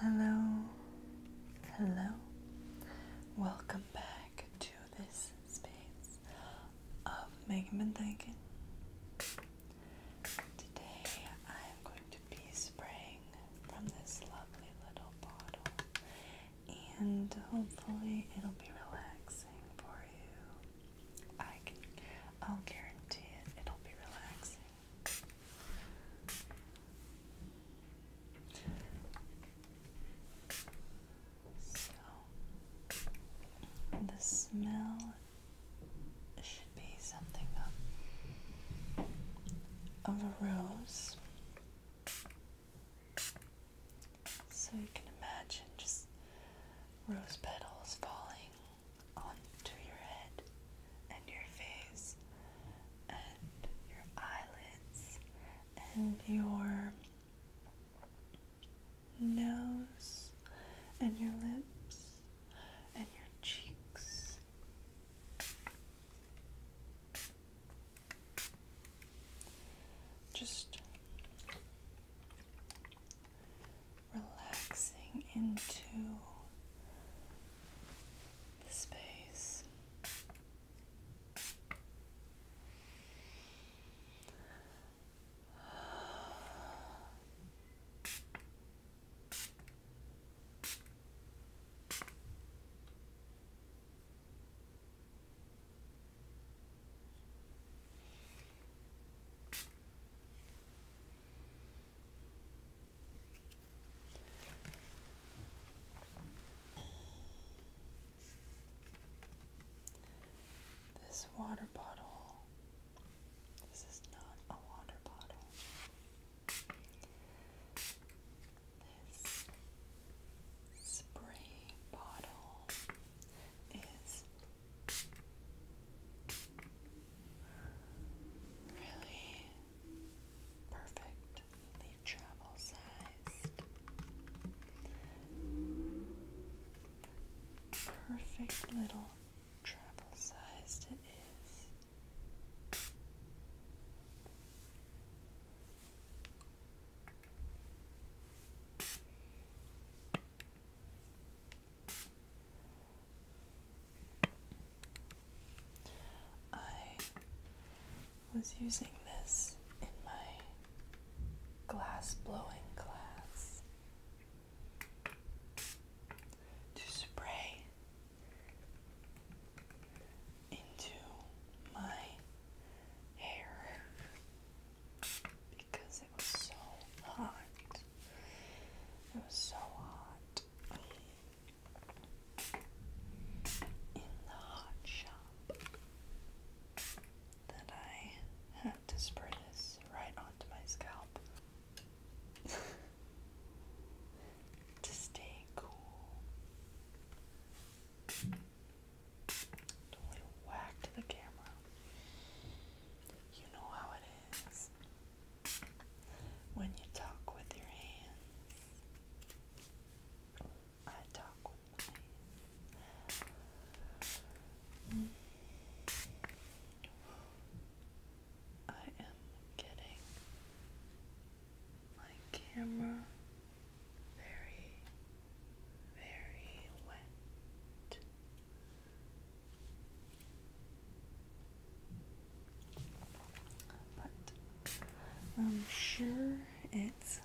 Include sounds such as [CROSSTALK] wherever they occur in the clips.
Hello, hello, welcome back to this space of Megan and Thinking. Today I am going to be spraying from this lovely little bottle, and hopefully, it'll be relaxing for you. I can, I'll guarantee it, it'll be relaxing. So, the smell should be something of, a rose. So you can imagine just rose petals falling onto your head and your face and your eyelids and your nose and your lips and your cheeks. Just relaxing into the space. This water bottle, this is not a water bottle. This spray bottle is really perfectly travel sized. Perfect little travel sized it is. I was using this in my glass blowing class to spray into my hair because it was so hot. It was so hot in the hot shop that I had to spray this right onto my scalp [LAUGHS] to stay cool. Don't to the camera. You know how it is when you talk with your hands. I talk with my hands. I am getting my camera very, very wet. But I'm sure it's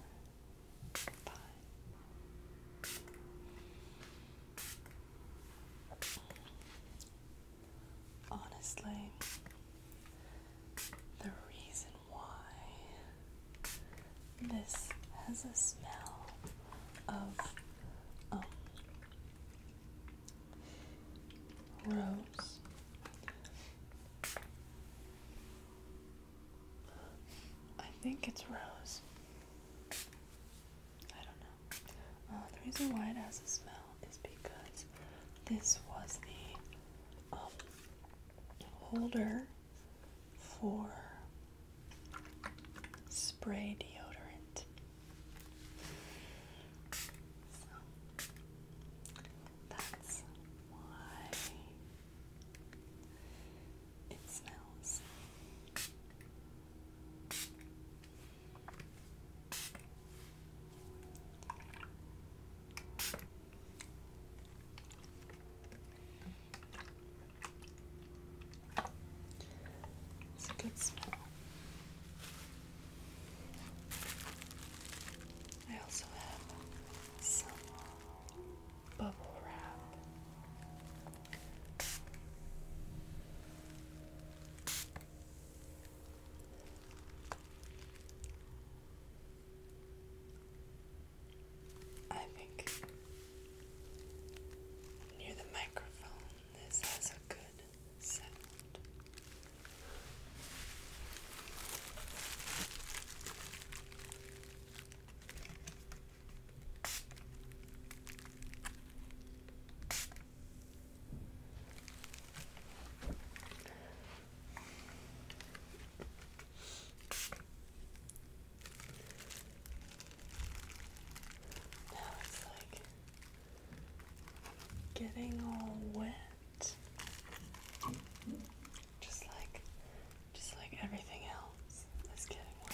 fine. Honestly, the reason why this has a smell of um, rose. I think it's rose. I don't know. Uh, the reason why it has a smell is because this was the um, holder for spray deodorant. that's why it smells. It's a good smell. I also have some bubble wrap. I think near the microphone, this has a good sound. Now it's like getting all wet. Just like just like everything else is getting wet.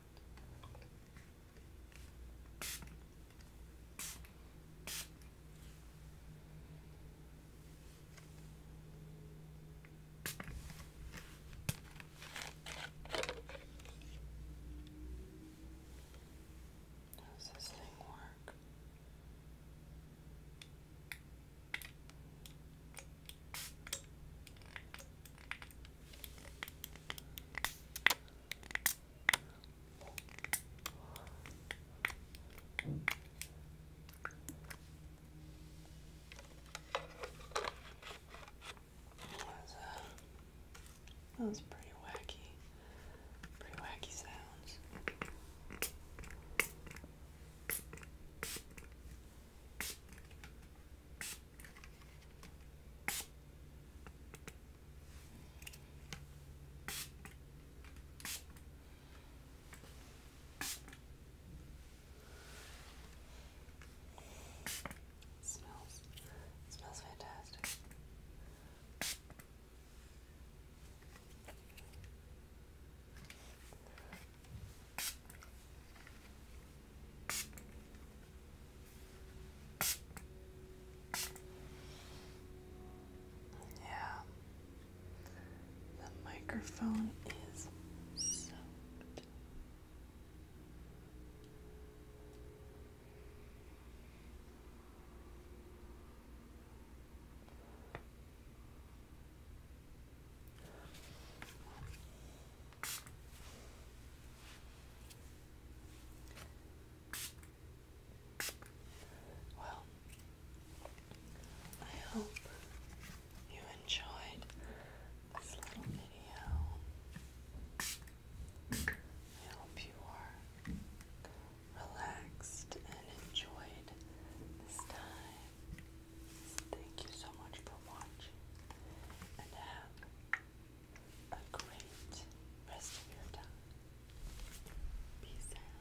Does this thing work? That was pretty wacky, pretty wacky sounds smells smells fantastic. Yeah. The microphone is soaked. Well, I hope you enjoyed this little video. I hope you are relaxed and enjoyed this time. Thank you so much for watching and have a great rest of your time. Peace out.